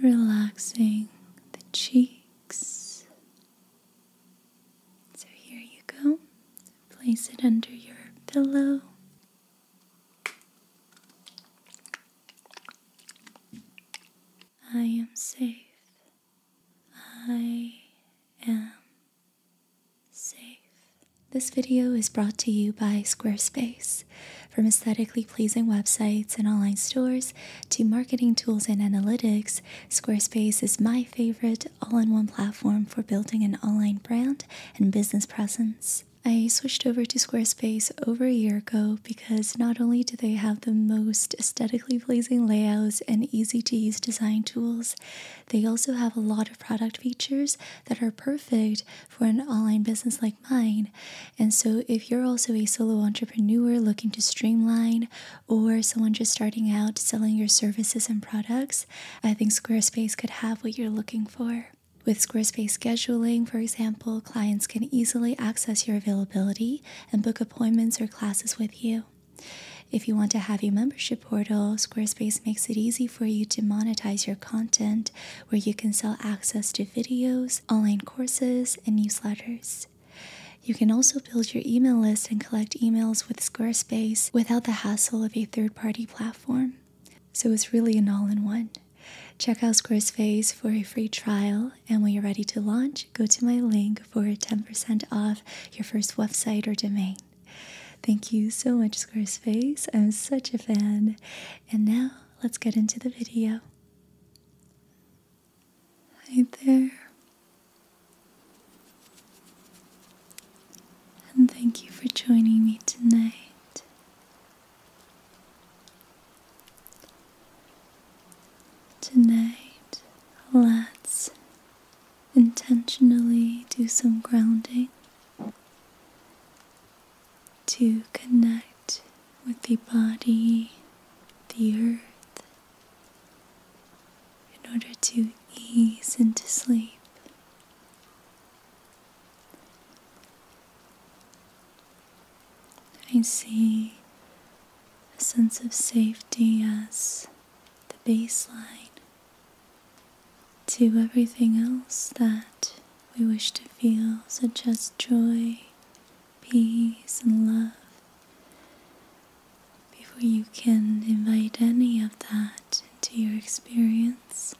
Relaxing the cheeks. So here you go. Place it under your pillow. I am safe. I am safe. This video is brought to you by Squarespace. From aesthetically pleasing websites and online stores to marketing tools and analytics, Squarespace is my favorite all in one platform for building an online brand and business presence. I switched over to Squarespace over a year ago because not only do they have the most aesthetically pleasing layouts and easy to use design tools. They also have a lot of product features that are perfect for an online business like mine. And so, if you're also a solo entrepreneur looking to streamline, or someone just starting out selling your services and products, I think Squarespace could have what you're looking for. With Squarespace scheduling, for example, clients can easily access your availability and book appointments or classes with you. If you want to have a membership portal, Squarespace makes it easy for you to monetize your content where you can sell access to videos, online courses, and newsletters. You can also build your email list and collect emails with Squarespace without the hassle of a third party platform. So it's really an all in one. Check out Squarespace for a free trial and when you're ready to launch, go to my link for 10% off your first website or domain. Thank you so much, Squarespace. I'm such a fan. And now let's get into the video. Hi there. And thank you for joining me tonight. Tonight, let's intentionally do some grounding to connect with the body, the earth, in order to ease into sleep. I see a sense of safety as the baseline to everything else that we wish to feel, such as joy, peace, and love. Before you can invite any of that into your experience,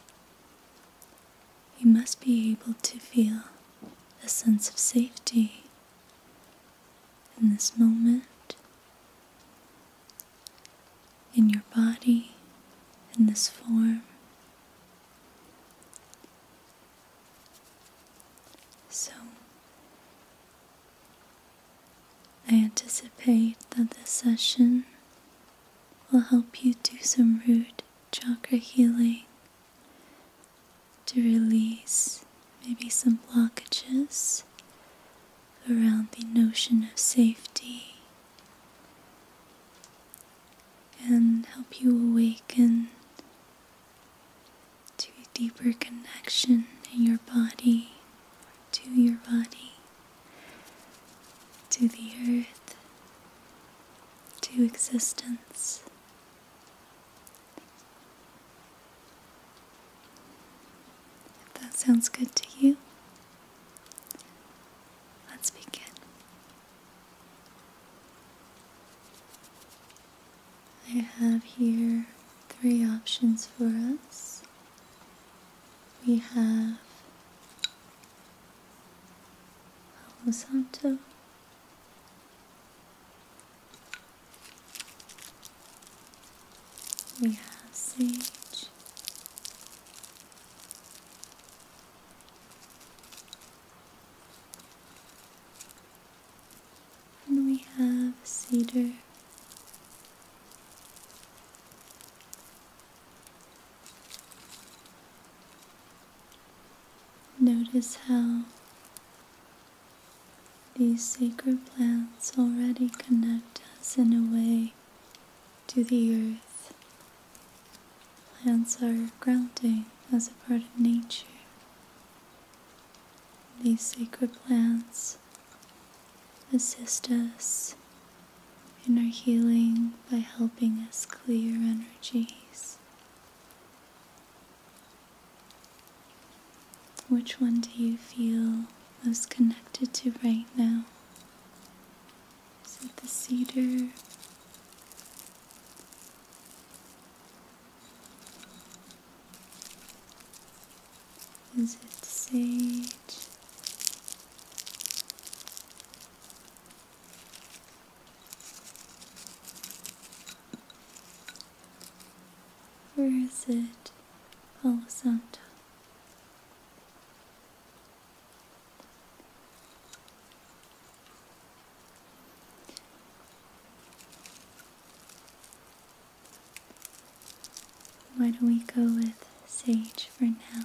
you must be able to feel a sense of safety in this moment, in your body, in this form. So, I anticipate that this session will help you do some root chakra healing to release maybe some blockages around the notion of safety and help you awaken to deeper connection in your body, to your body, to the earth, to existence. If that sounds good to you, let's begin. I have here three options for us. We have Palo we have sage. And we have cedar. Notice how these sacred plants already connect us in a way to the earth. Plants are grounding as a part of nature. These sacred plants assist us in our healing by helping us clear energies. Which one do you feel most connected to right now? Is it the cedar? Is it sage? Where is is it horizontal? Oh, Why don't we go with sage for now?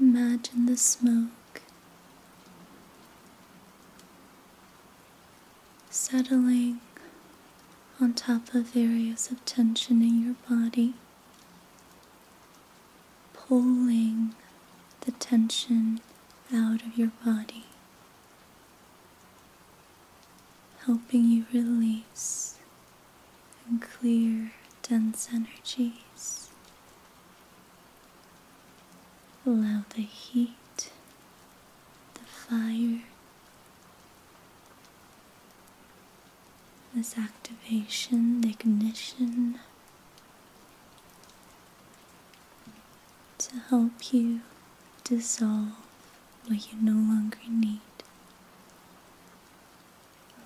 Imagine the smoke settling on top of areas of tension in your body, pulling the tension out of your body, helping you release and clear dense energies. Allow the heat the fire, this activation, the ignition to help you dissolve what you no longer need.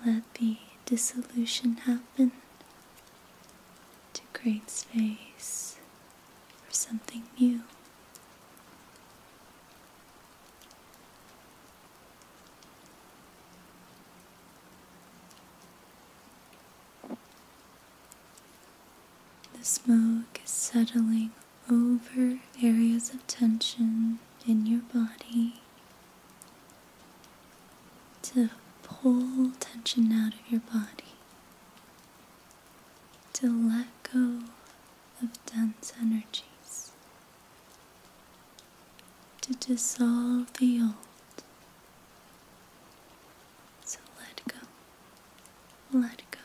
Let the dissolution happen to create space for something new. The smoke is settling over areas of tension in your body to pull tension out of your body to let go of dense energies, to dissolve the old. So let go, let go,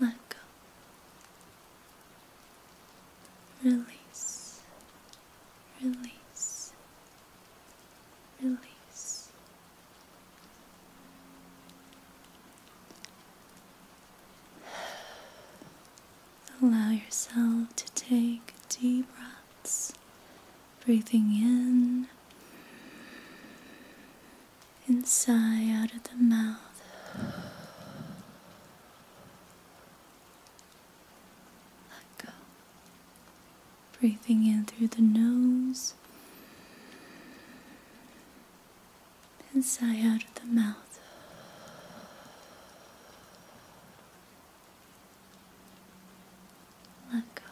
let go. Release, release, release. Allow yourself to take deep breaths, breathing in and sigh out of the mouth. Let go. Breathing in through the nose and sigh out of the mouth. Let go.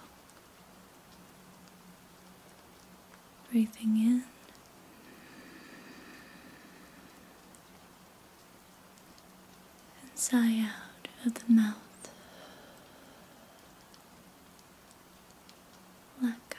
Breathing in. And sigh out of the mouth. Let go.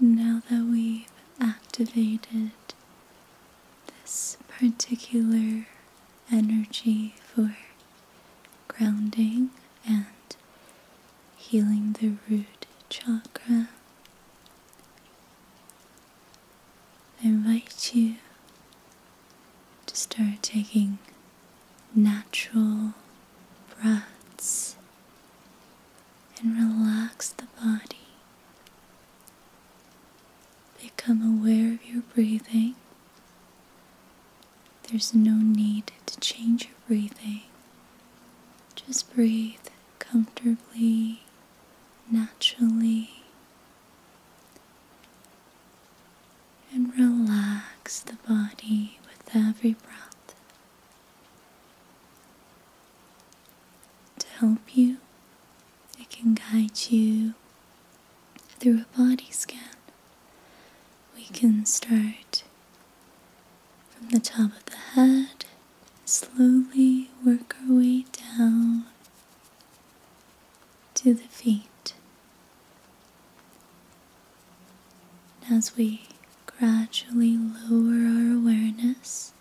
Now that we've activated this particular energy for grounding and healing the root chakra. I invite you to start taking natural breaths and relax the body. Become aware of your breathing there's no need to change your breathing. Just breathe comfortably, naturally, and relax the body with every breath. To help you, it can guide you through a body scan. We can start from the top of the head, slowly work our way down to the feet. As we gradually lower our awareness,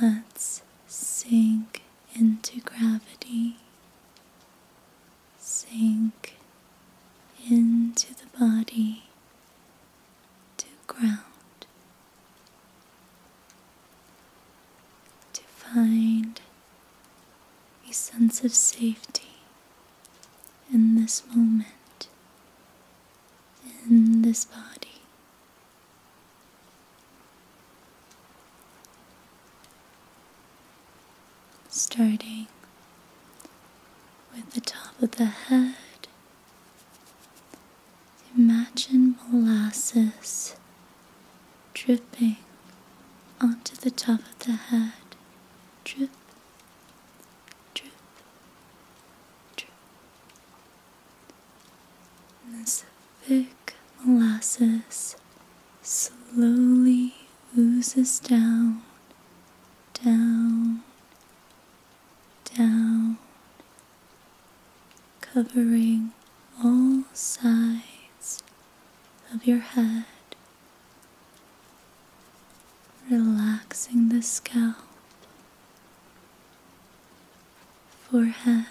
let's sink into gravity sink into the body to ground, to find a sense of safety in this moment, in this body starting with the top of the head. Imagine molasses dripping onto the top of the head. Drip, drip, drip. And this thick molasses slowly oozes down down, down, covering all sides of your head, relaxing the scalp, forehead.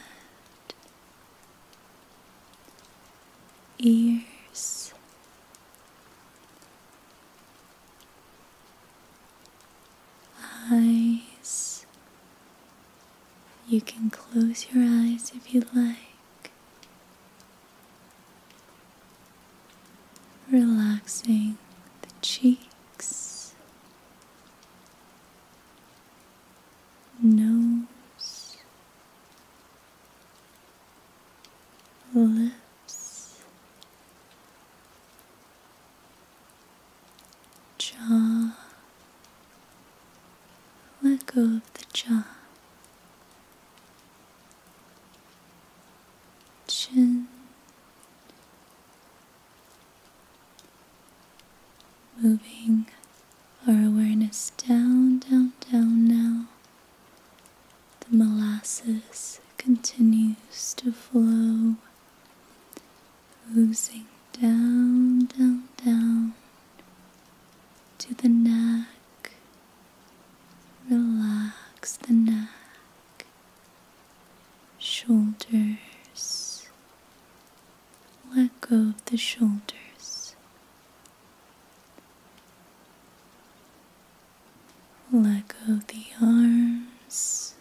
Ears, eyes. You can close your eyes if you like. Relaxing the cheeks, nose, lips, jaw. Let go of the jaw, chin, moving our awareness down, down, down now the molasses continues to flow, oozing down, down, down to the neck. Relax the neck, shoulders. Let go of the shoulders. Let go of the arms.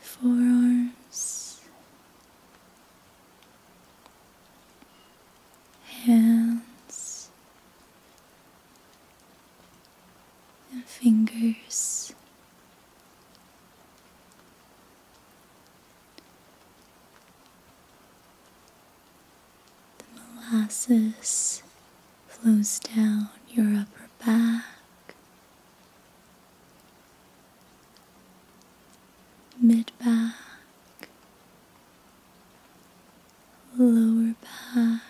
Forearms, hands, and fingers. The molasses flows down your upper back, mid back, lower back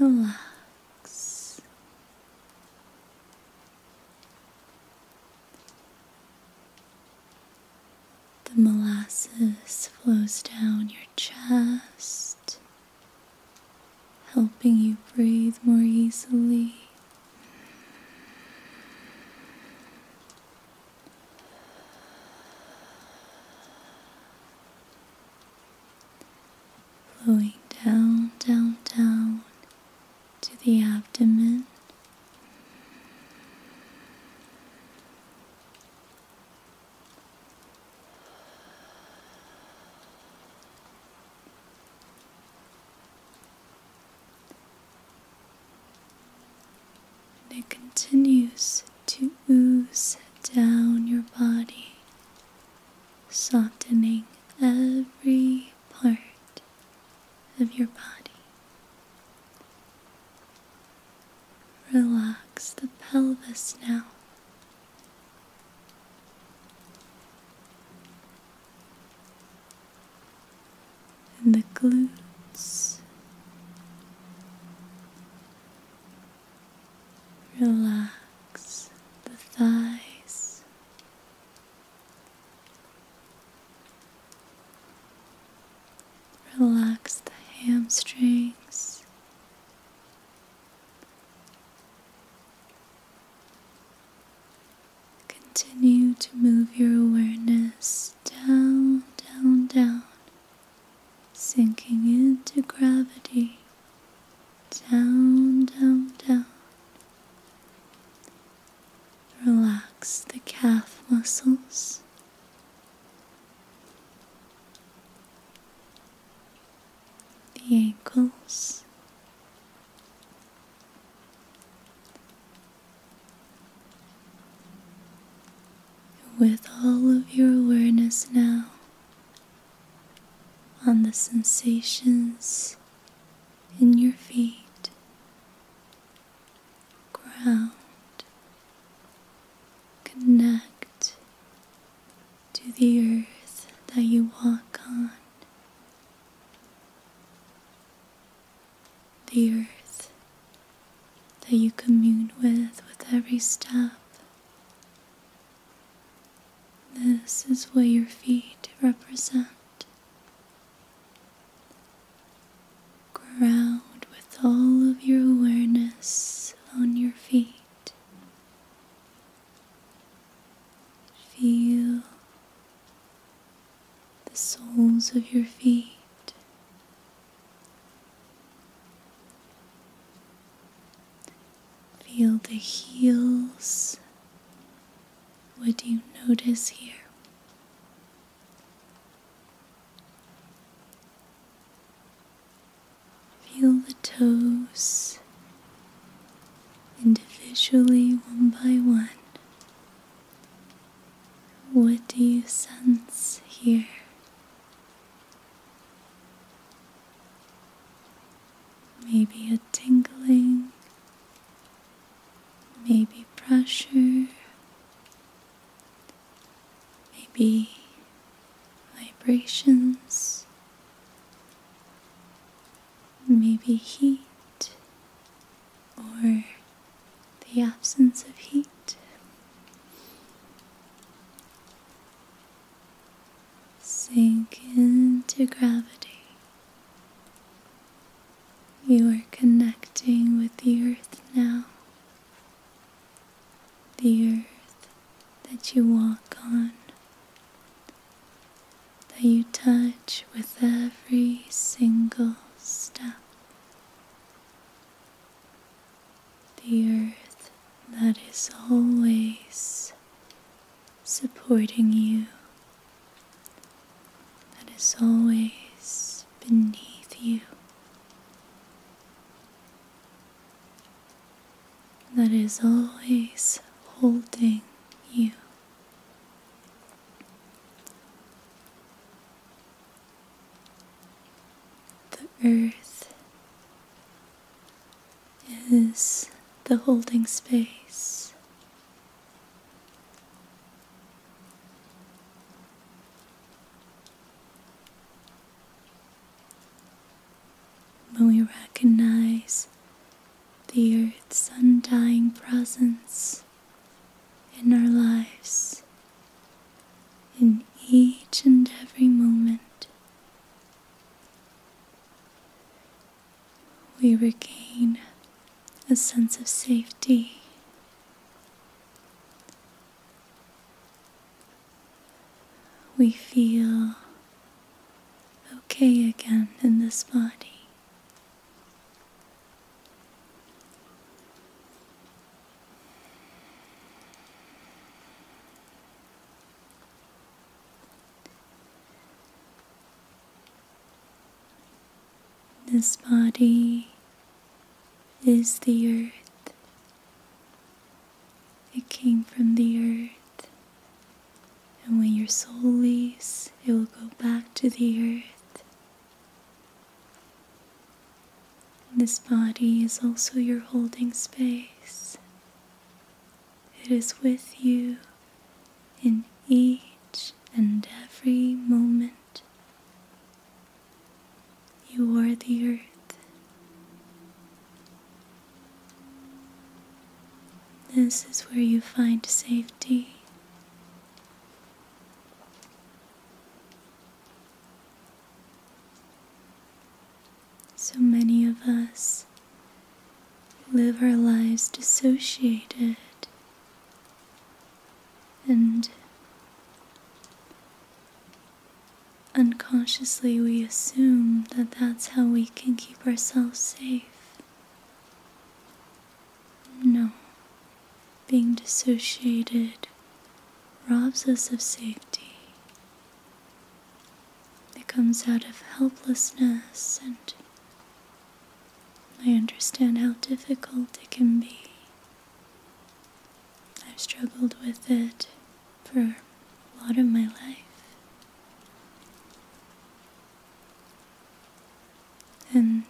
relax. The molasses flows down your chest, helping you breathe more easily flowing down, down, down to the abdomen. it continues to ooze down your body softening every part of your body. Relax the pelvis now. And the glutes Relax the thighs. Relax the hamstrings. Continue to move your awareness down, down, down, sinking into gravity. Down, down, down. Relax the calf muscles. The ankles, with all of your awareness now, on the sensations in your feet, ground, connect to the earth that you walk on, the earth that you commune with with every step. This is where your feet represent. Ground with all of your awareness on your feet. Feel the soles of your feet. Feel the heels. What do you notice here? Feel the toes individually, one by one. What do you sense here? maybe a tingling, maybe pressure, maybe vibrations, maybe heat or the absence of heat. Sink into gravity. You are connecting with the earth now. The earth that you walk on, that you touch with every single step. The earth that is always supporting you that is always beneath you, that is always holding you. The earth is the holding space. When we recognize the Earth's undying presence in our lives, in each and every moment, we regain a sense of safety. We feel okay again in this body. This body is the earth. It came from the earth. And when your soul leaves, it will go back to the earth. This body is also your holding space. It is with you in each and every moment. You are the earth. This is where you find safety. So many of us live our lives dissociated and unconsciously we assume that that's how we can keep ourselves safe. No, being dissociated robs us of safety. It comes out of helplessness, and I understand how difficult it can be. I've struggled with it for a lot of my life. And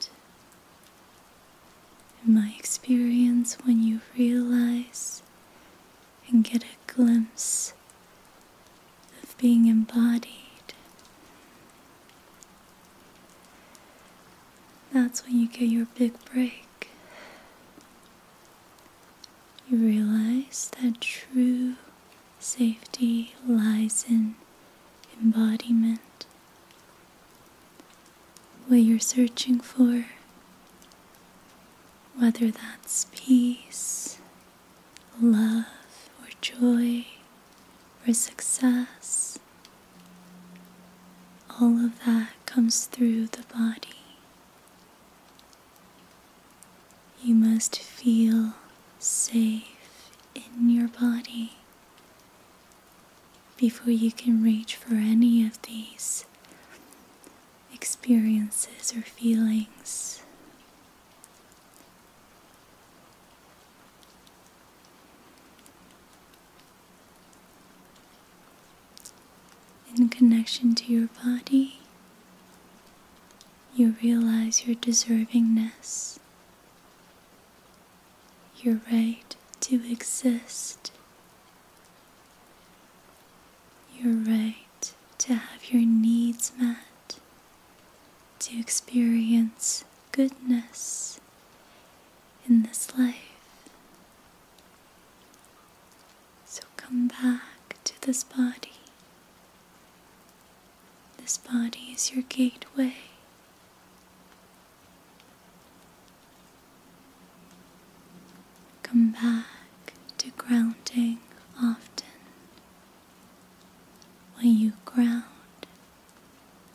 in my experience, when you realize and get a glimpse of being embodied. That's when you get your big break. You realize that true safety lies in embodiment. What you're searching for whether that's peace, love, or joy, or success, all of that comes through the body. You must feel safe in your body before you can reach for any of these experiences or feelings. In connection to your body, you realize your deservingness, your right to exist, You're right to have your needs met, to experience goodness in this life. So come back to this body. This body is your gateway. Come back to grounding often. When you ground,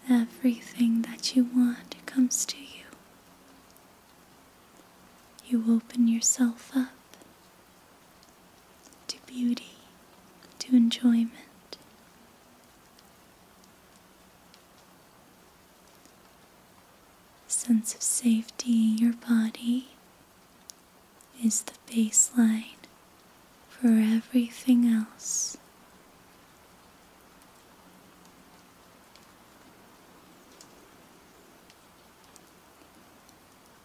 everything that you want comes to you. You open yourself up to beauty, to enjoyment. Sense of safety, your body is the baseline for everything else.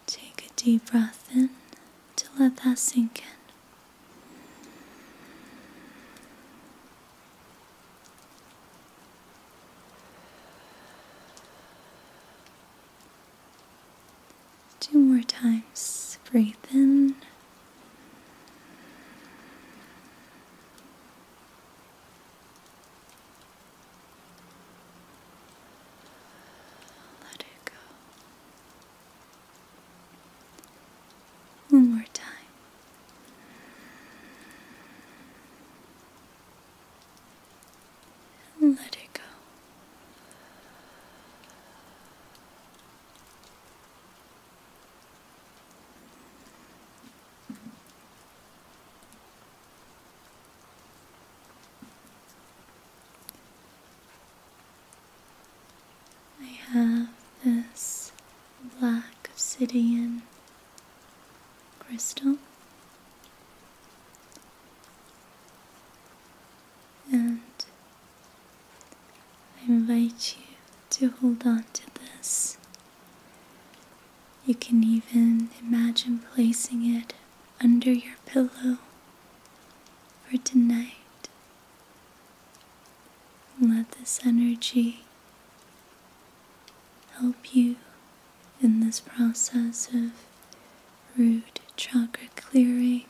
Take a deep breath in to let that sink in. Two more times. Breathe in. Let it go. One more time and let it go. I have this black obsidian crystal and I invite you to hold on to this. You can even imagine placing it under your pillow for tonight. let this energy help you in this process of root chakra clearing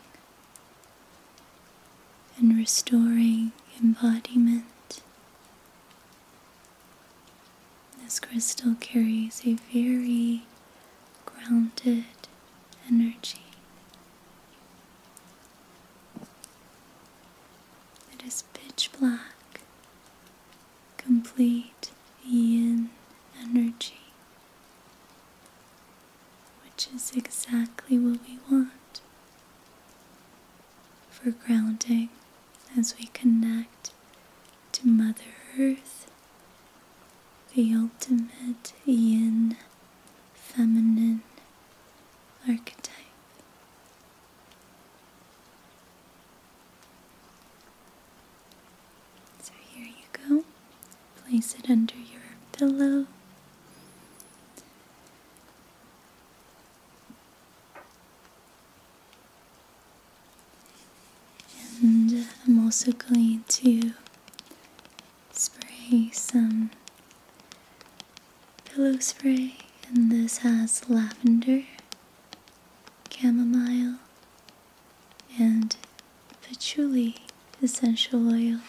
and restoring embodiment. This crystal carries a very grounded energy. It is pitch black complete yin energy, which is exactly what we want for grounding as we connect to Mother Earth, the ultimate yin feminine archetype. So here you go. Place it under your pillow. And I'm also going to spray some pillow spray, and this has lavender, chamomile, and patchouli essential oils.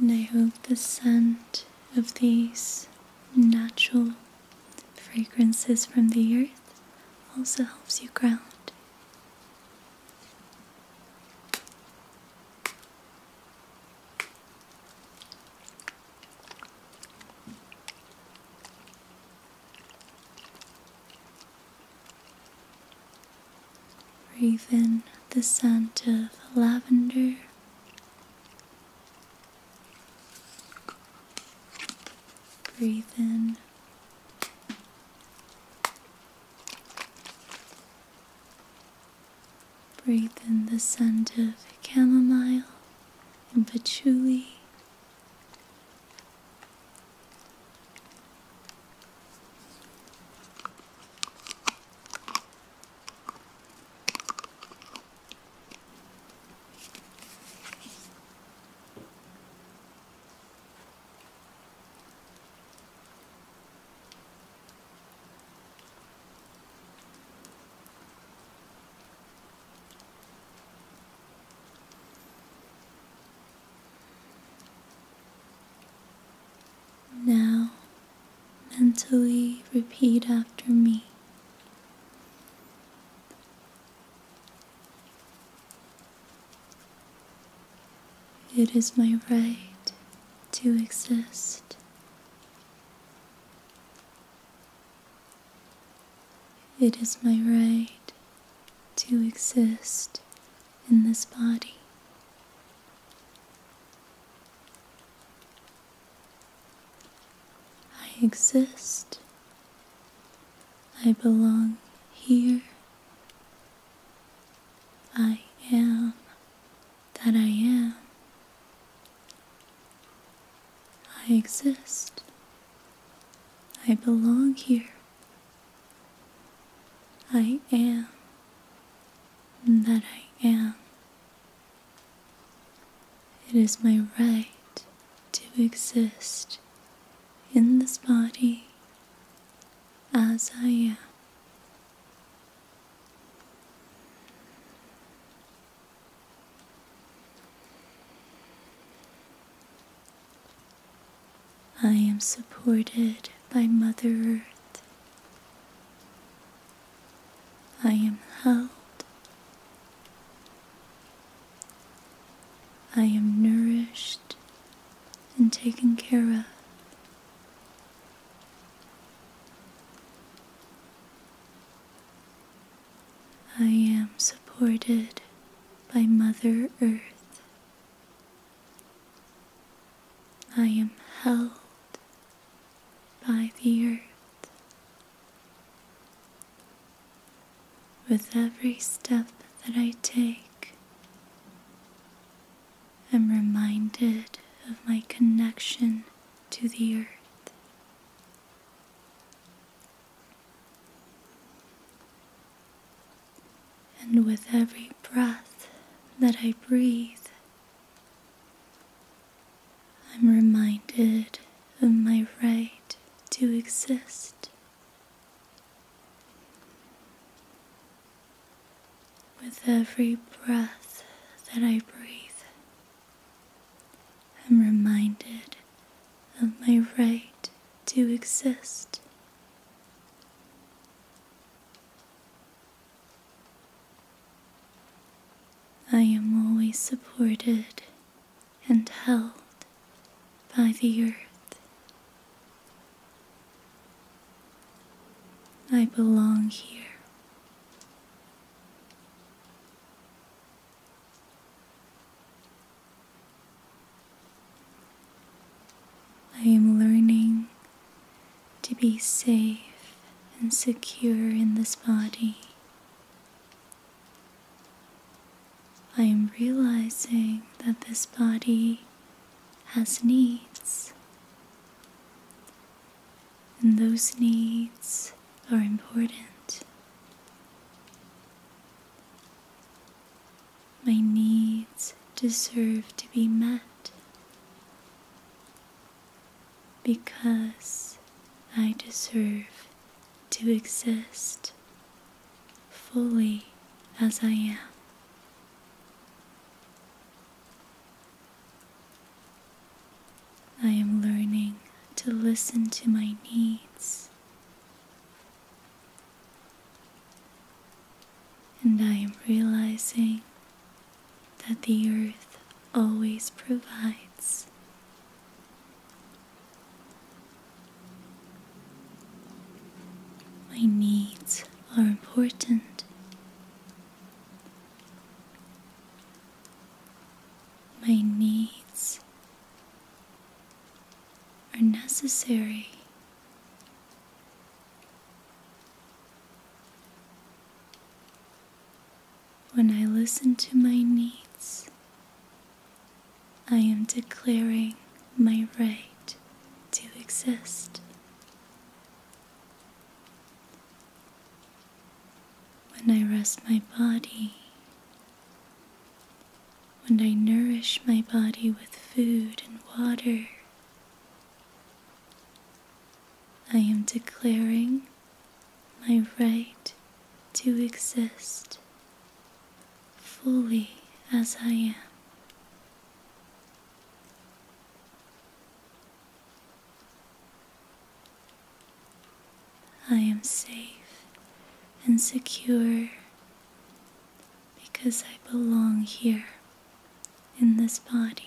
And I hope the scent of these natural Fragrances from the earth also helps you ground. Breathe in the scent of lavender Breathe in. Breathe in the scent of chamomile and patchouli. Now, mentally repeat after me. It is my right to exist. It is my right to exist in this body. I exist. I belong here. I am that I am. I exist. I belong here. I am that I am. It is my right to exist in this body as I am. I am supported by Mother Earth. I am held I am nourished and taken care of. I am supported by Mother Earth. I am held by the earth. With every step that I take, I'm reminded of my connection to the earth. And with every breath that I breathe, I'm reminded of my right to exist. With every breath that I breathe, I'm reminded of my right to exist. I am always supported and held by the earth. I belong here. I am learning to be safe and secure in this body I am realizing that this body has needs, and those needs are important. My needs deserve to be met because I deserve to exist fully as I am. I am learning to listen to my needs. And I am realizing that the earth always provides my needs are important. My needs are necessary. When I listen to my needs, I am declaring my right to exist. When I rest my body, when I nourish my body with food and water, I am declaring my right to exist fully as I am. I am safe and secure because I belong here in this body.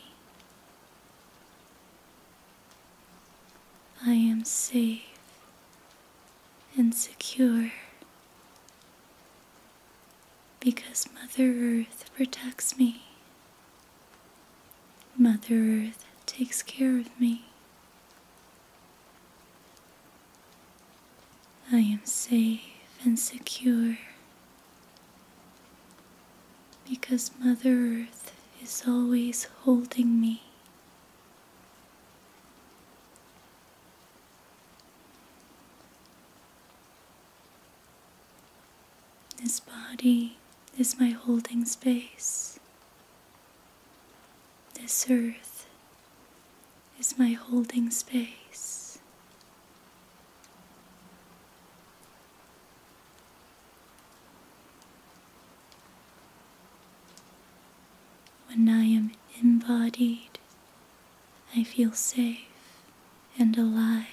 I am safe and secure because Mother Earth protects me. Mother Earth takes care of me. I am safe and secure because Mother Earth is always holding me. This body is my holding space. This earth is my holding space. When I am embodied, I feel safe and alive.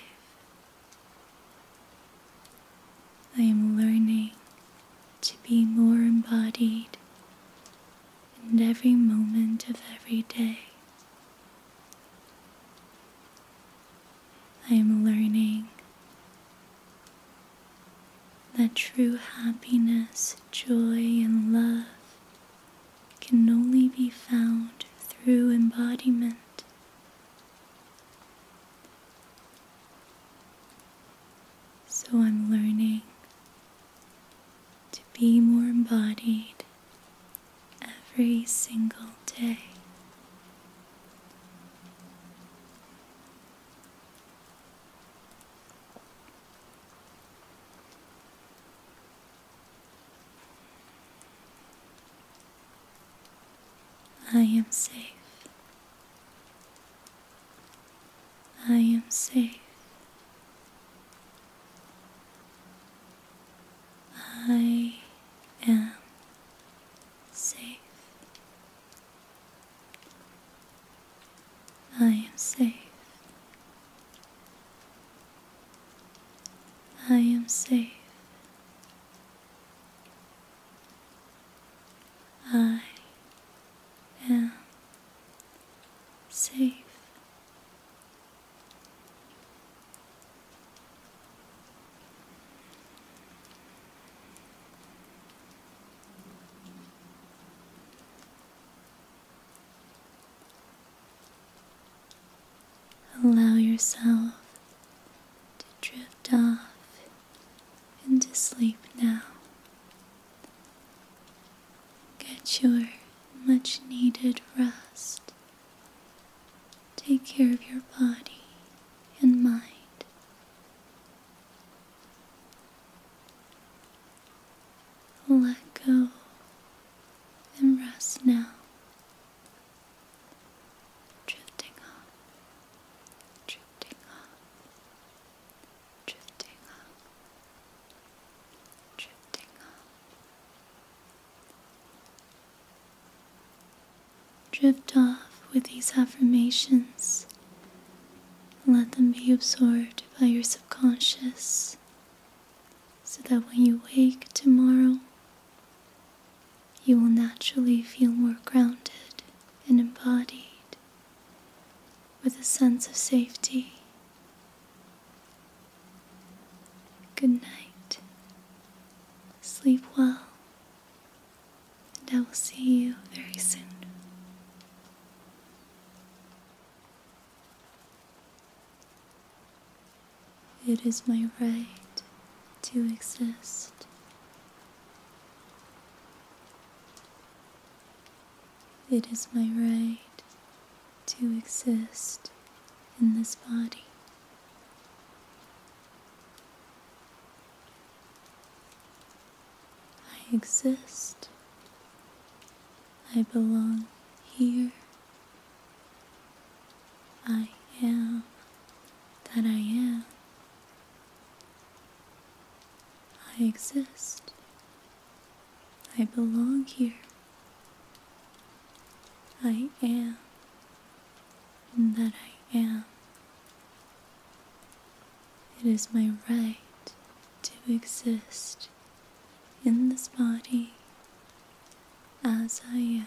I am learning to be more embodied in every moment of every day. I am learning that true happiness, joy, and love can only be found through embodiment. So I'm learning to be more embodied every single day. I am safe. I am safe. I am safe. I am safe. I am safe. I am safe. Allow yourself to drift off into sleep now. Get your much needed rest. Take care of your body and mind. Let go and rest now. Drifting up, drifting up, drifting up, drifting up. Drift off with these affirmations let them be absorbed by your subconscious so that when you wake tomorrow, you will naturally feel more grounded and embodied with a sense of safety. Good night. Sleep well and I will see you very soon. It is my right to exist. It is my right to exist in this body. I exist. I belong here. I am that I am. I exist. I belong here. I am that I am. It is my right to exist in this body as I am.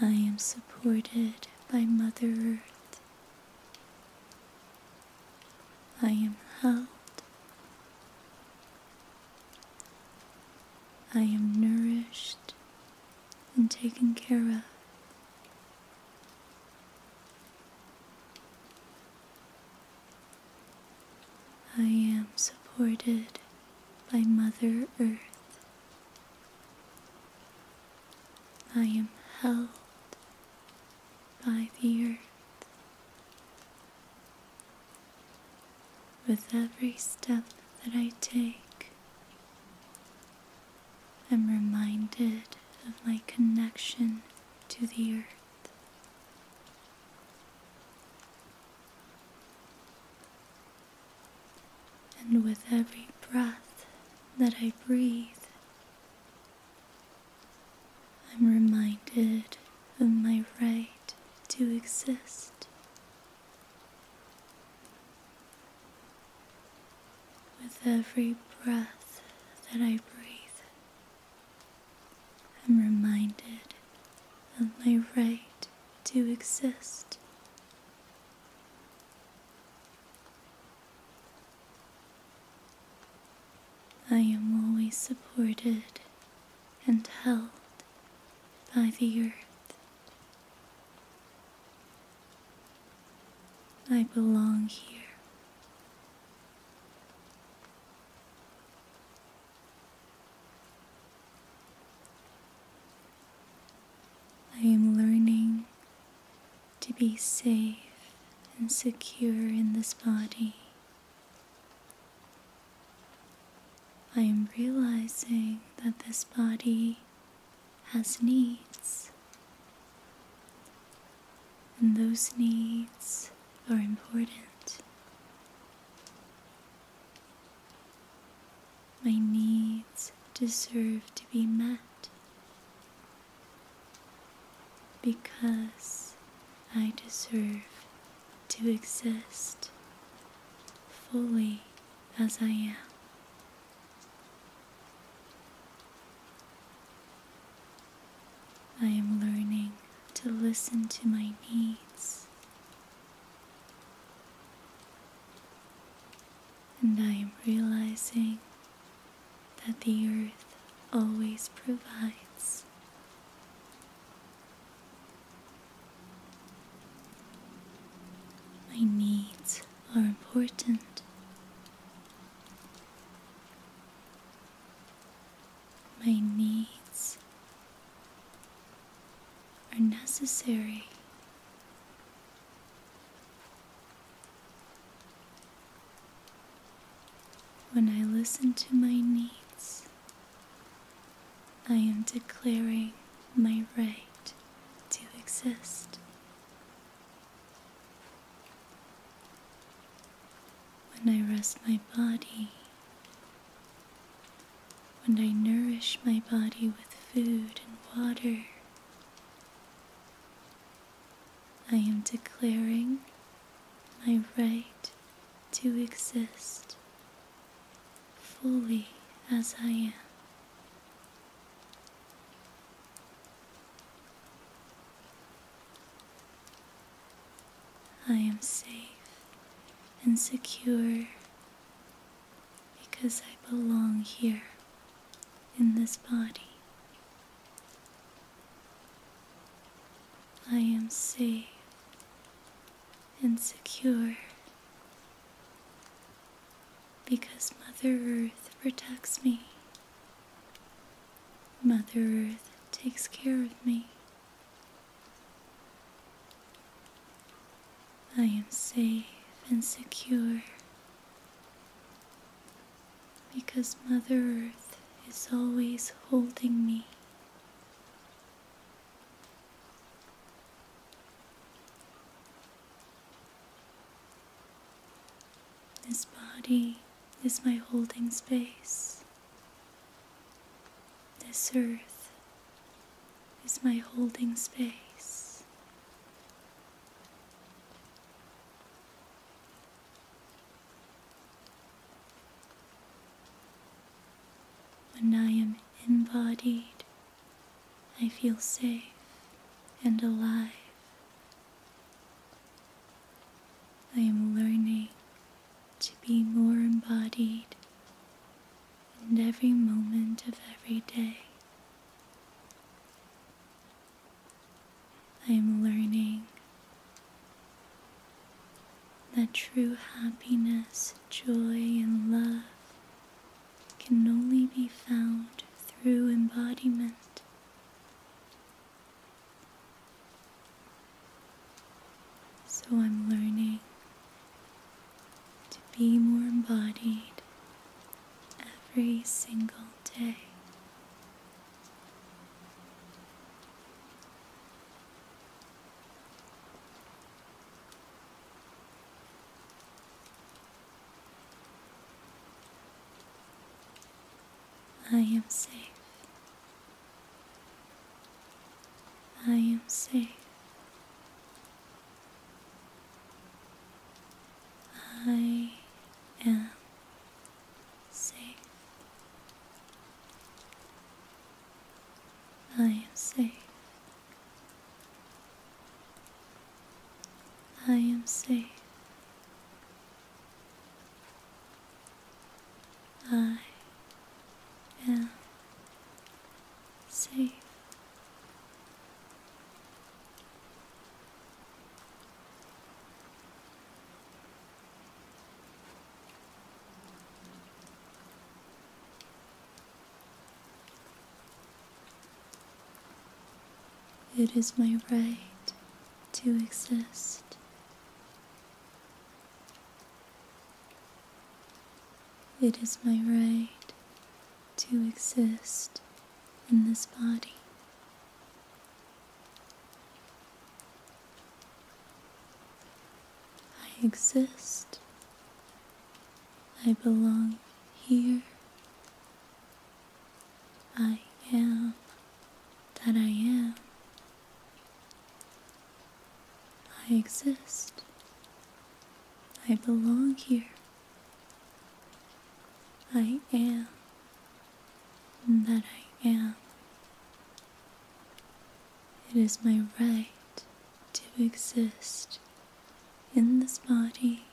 I am supported by Mother Earth. I am held. I am nourished and taken care of. I am supported by Mother Earth. I am held by the earth. With every step that I take, I'm reminded of my connection to the earth. And with every breath that I breathe, I'm reminded of my right to exist. With every breath that I breathe, I'm reminded of my right to exist. I am always supported and held by the earth. I belong here. I am learning to be safe and secure in this body. I am realizing that this body has needs, and those needs are important. My needs deserve to be met because I deserve to exist fully as I am. I am learning to listen to my needs. And I am realizing that the earth always provides. My needs are important. My needs are necessary. When I listen to my needs, I am declaring my right to exist. When I rest my body, when I nourish my body with food and water, I am declaring my right to exist fully as I am. I am safe and secure because I belong here in this body. I am safe and secure because Mother Earth protects me. Mother Earth takes care of me. I am safe and secure because Mother Earth is always holding me. This body is my holding space. This earth is my holding space. When I am embodied, I feel safe and alive. I am learning to be more embodied in every moment of every day. I am learning that true happiness, joy, and love can only be found through embodiment. So I'm learning to be more embodied every single day. I am safe. I am safe. I am safe. I am safe. I am safe. I am safe. It is my right to exist. It is my right to exist in this body. I exist. I belong here. I am that I am. I exist. I belong here. I am that I am. It is my right to exist in this body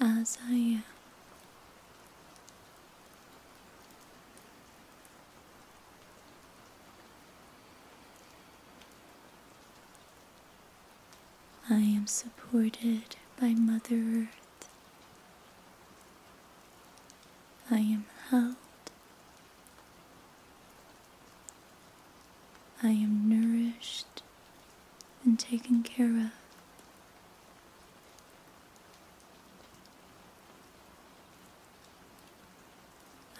as I am. I am supported by Mother Earth. I am held. I am nourished and taken care of.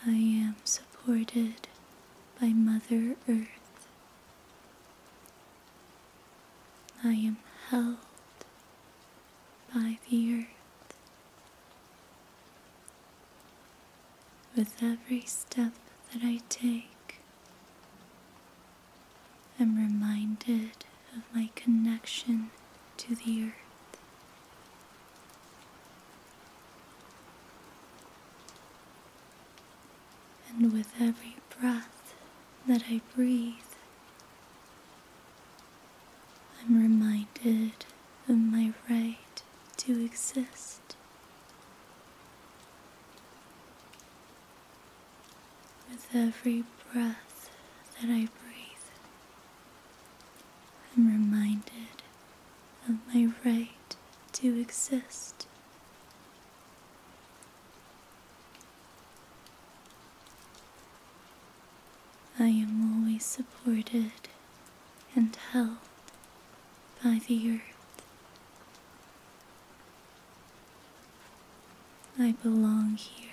I am supported by Mother Earth. I am held by the earth. With every step that I take, I'm reminded of my connection to the earth. And with every breath that I breathe, I'm reminded of my right to exist. With every breath that I breathe, I'm reminded of my right to exist. I am always supported and held by the earth. I belong here.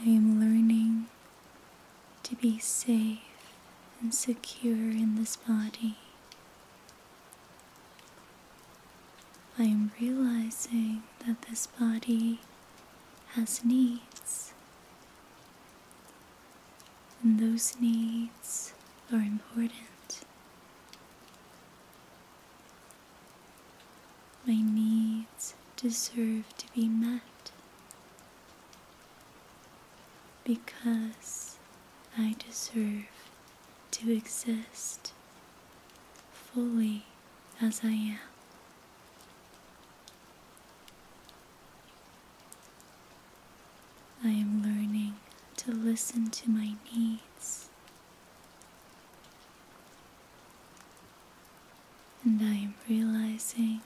I am learning to be safe and secure in this body. I am realizing that this body has needs, and those needs are important. My needs deserve to be met because I deserve to exist fully as I am. I am learning to listen to my needs. And I am realizing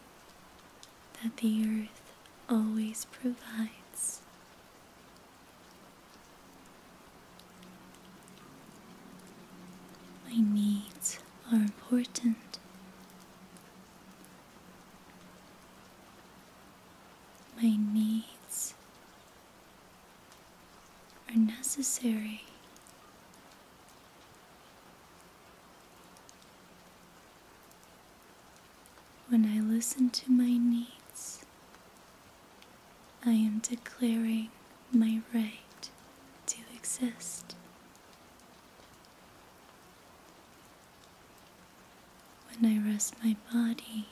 that the earth always provides. My needs are important. My needs are necessary. When I listen to my needs, I am declaring my right to exist. When I rest my body,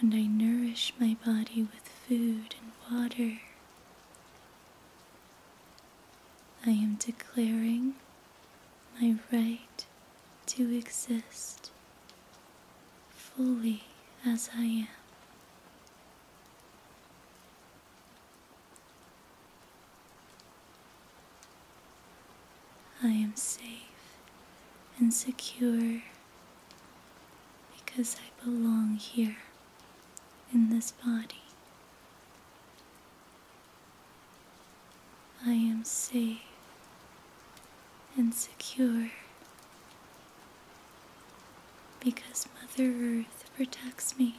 when I nourish my body with food and water, I am declaring my right to exist fully as I am. I am safe and secure because I belong here in this body. I am safe and secure because Mother Earth protects me.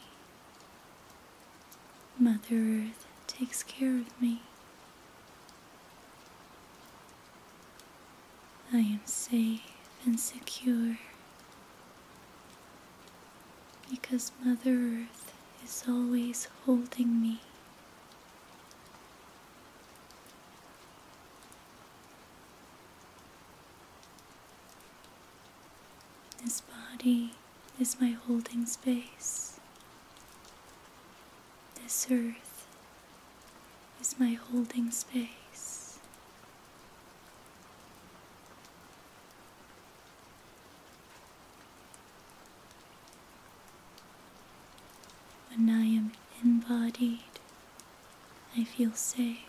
Mother Earth takes care of me. I am safe and secure because Mother Earth is always holding me. This body is my holding space. This earth is my holding space. When I am embodied, I feel safe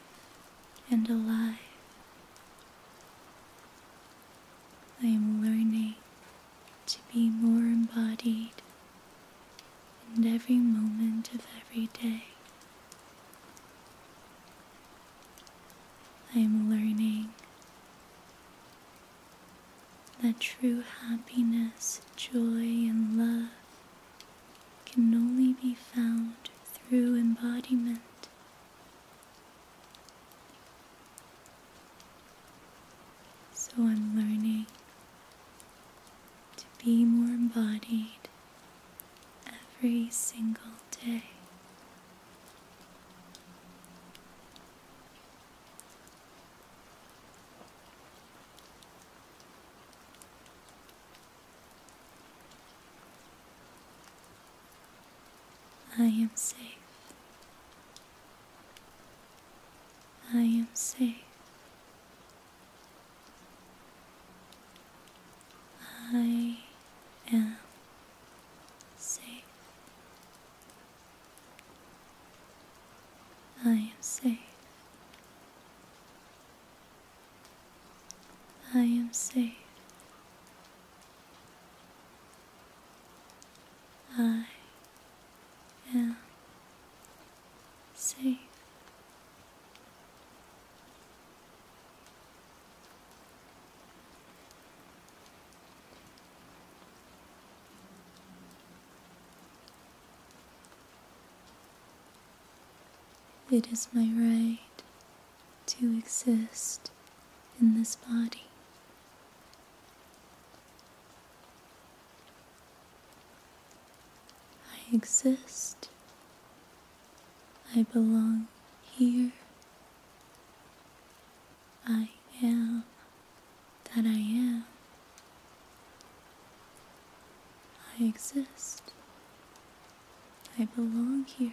and alive. I am learning to be more embodied in every moment of every day. I am learning that true happiness, joy, and love can only be found through embodiment. So I'm learning to be more embodied every single day. I am safe. I am safe. I am safe. I am safe. I am safe. I am safe. It is my right to exist in this body. I exist I belong here. I am that I am. I exist. I belong here.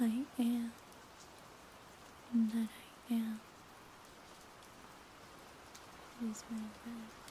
I am that I am. It is my breath.